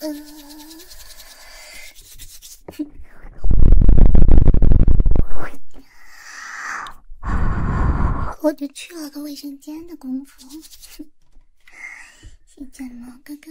嗯，我就去了个卫生间的功夫，剪毛哥哥。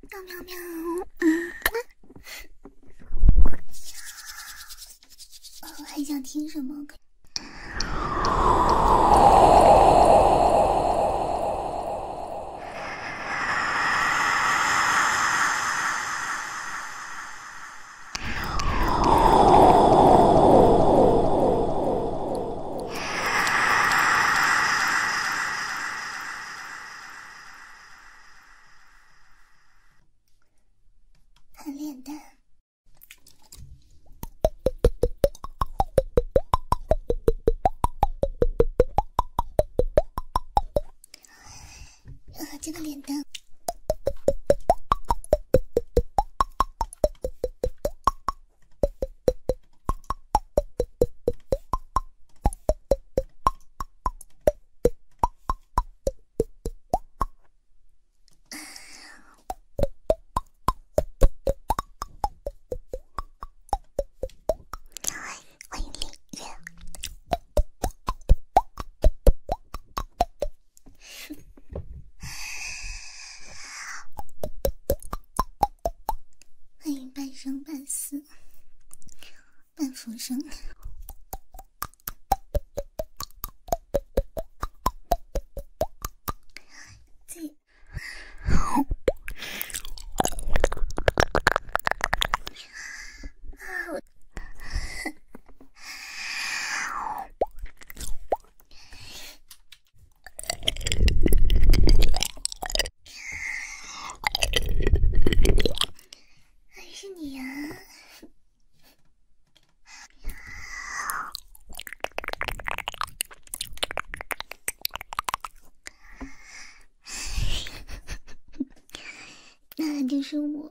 喵喵喵！嗯，我还想听什么？很脸蛋。啊，这个脸蛋，欢迎欢迎半生半死。半浮生。还是你呀，那就是我。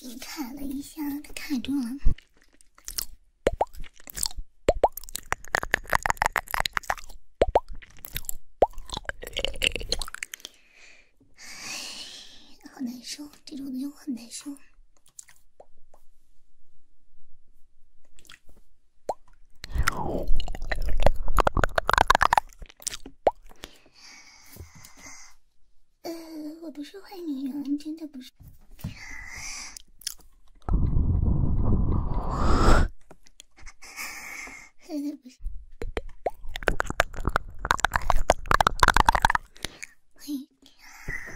你卡了一下，它卡住了。唉，好难受，这种就很难受。呃，我不是坏女人，真的不是，不是。哎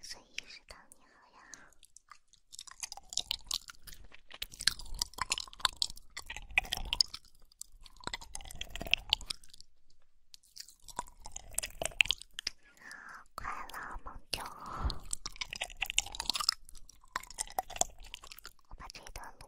所以一直你喝呀，快乐梦境。我段录。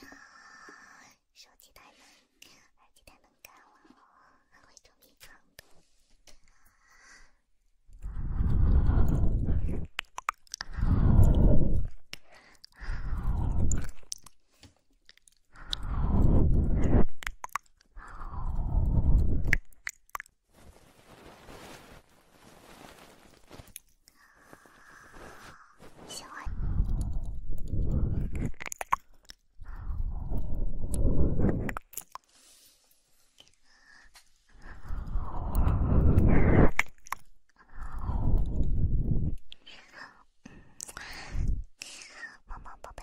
呀，收集蛋能，收集蛋能干还会捉迷藏喜欢。么么宝贝。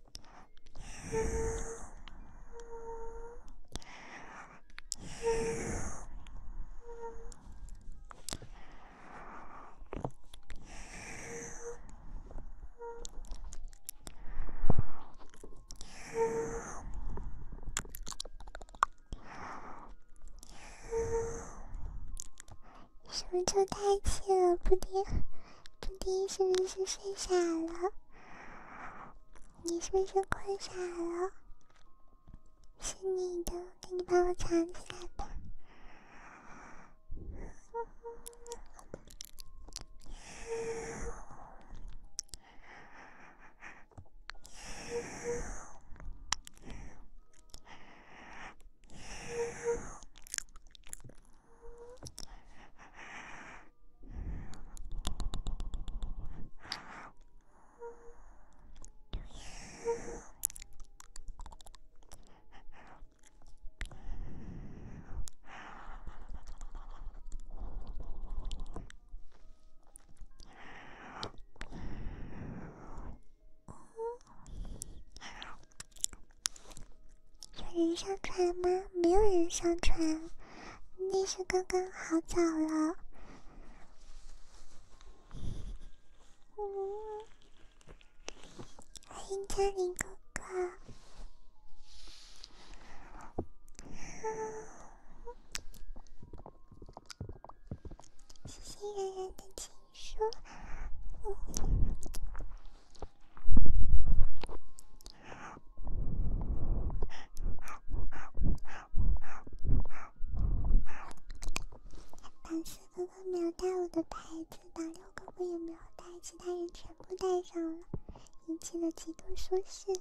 呜呜呜是不是太气了，布丁？布丁，是不是睡傻了？你是不是困傻了？是你的，给你把我藏起来吧。有人上传吗？没有人上传。那是刚刚好早了，嗯，欢迎嘉玲哥哥，谢谢然然的情书，嗯。但是哥哥没有带我的牌子，老六哥哥也没有带，其他人全部带上了，引起了极度舒适。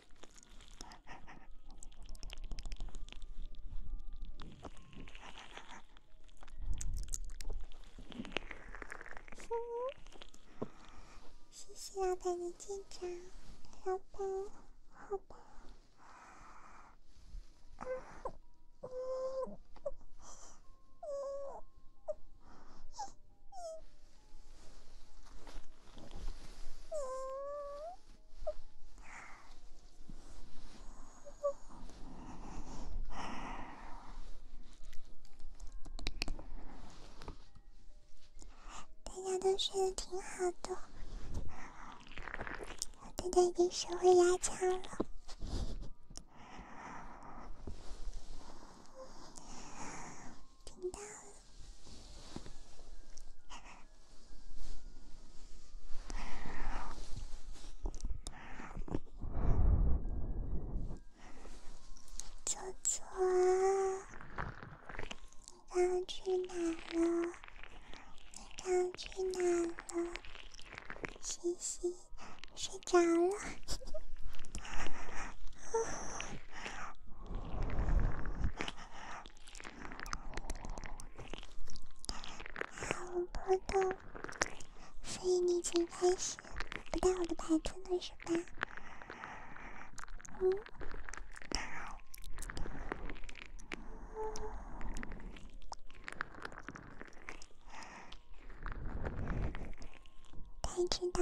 嗯，谢谢老婆你坚强，老板，好吧。大家都睡得挺好的，大家已经学会压枪了，听到了。左 左，你刚去哪了？刚去哪了？嘻嘻，睡着了，嘿嘿。我不懂，所以你一开始不带我的牌子呢，是吧？嗯，太知道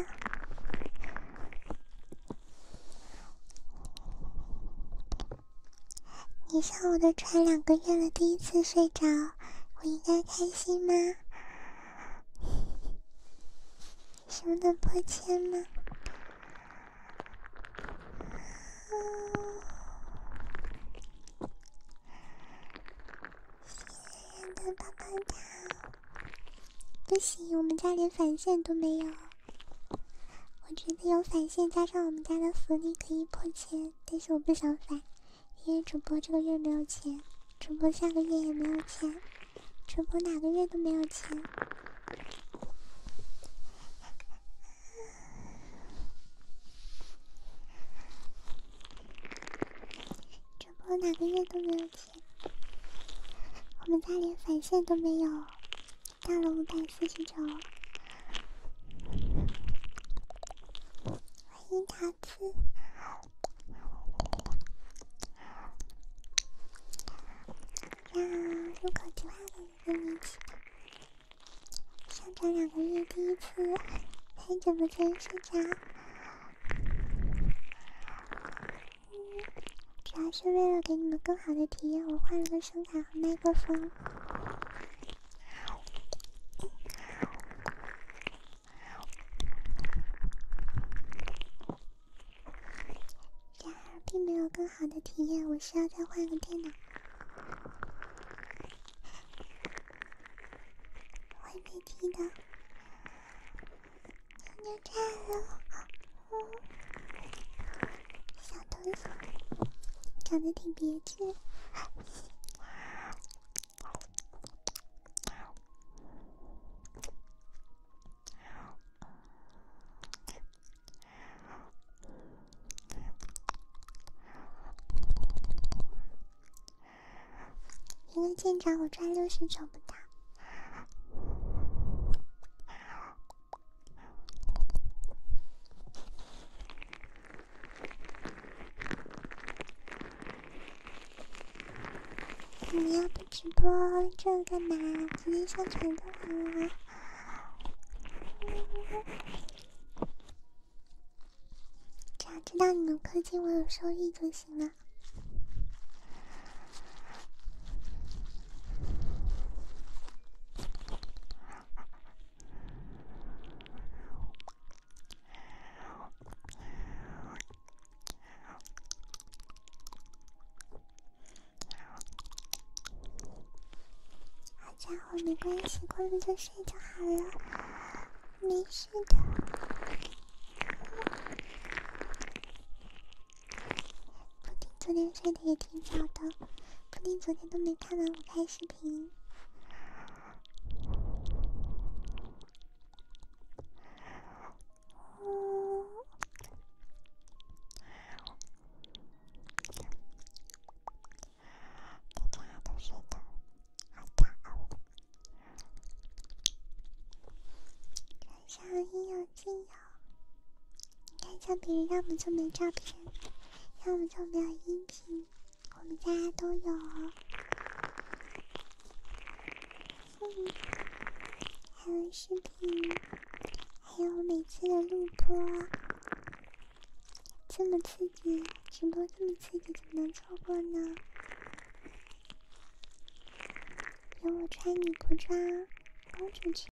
你上我的船两个月了，第一次睡着，我应该开心吗？什么的破千吗？谢谢的棒棒糖，不行，我们家连返现都没有。我觉得有返现，加上我们家的福利可以破千，但是我不想返，因为主播这个月没有钱，主播下个月也没有钱，主播哪个月都没有钱，主播哪个月都没有钱，我们家连返现都没有。到了五百四十九，欢迎桃子，那入口即化的班个粉丝，上涨两个月第一次在直播间睡觉，嗯。主要是为了给你们更好的体验，我换了个声卡和麦克风。然而，并没有更好的体验，我需要再换个电脑。会被听到，牛牛站了。小头颅长得挺别致。一个舰长我赚六十找不到。你要不直播这干嘛？直接上传就好了。只要知道你们氪金我有收益就行了。好家伙，没关系，困了就睡就好了，没事的。布丁昨天睡得也挺早的，布丁昨天都没看完我开视频。哦，睡觉有，你看一下别人，要么就没照片，要么就没有音频，我们家都有，还有视频，还有每次的录播，这么刺激，直播这么刺激，怎么能错过呢？有我穿女仆装，公主裙。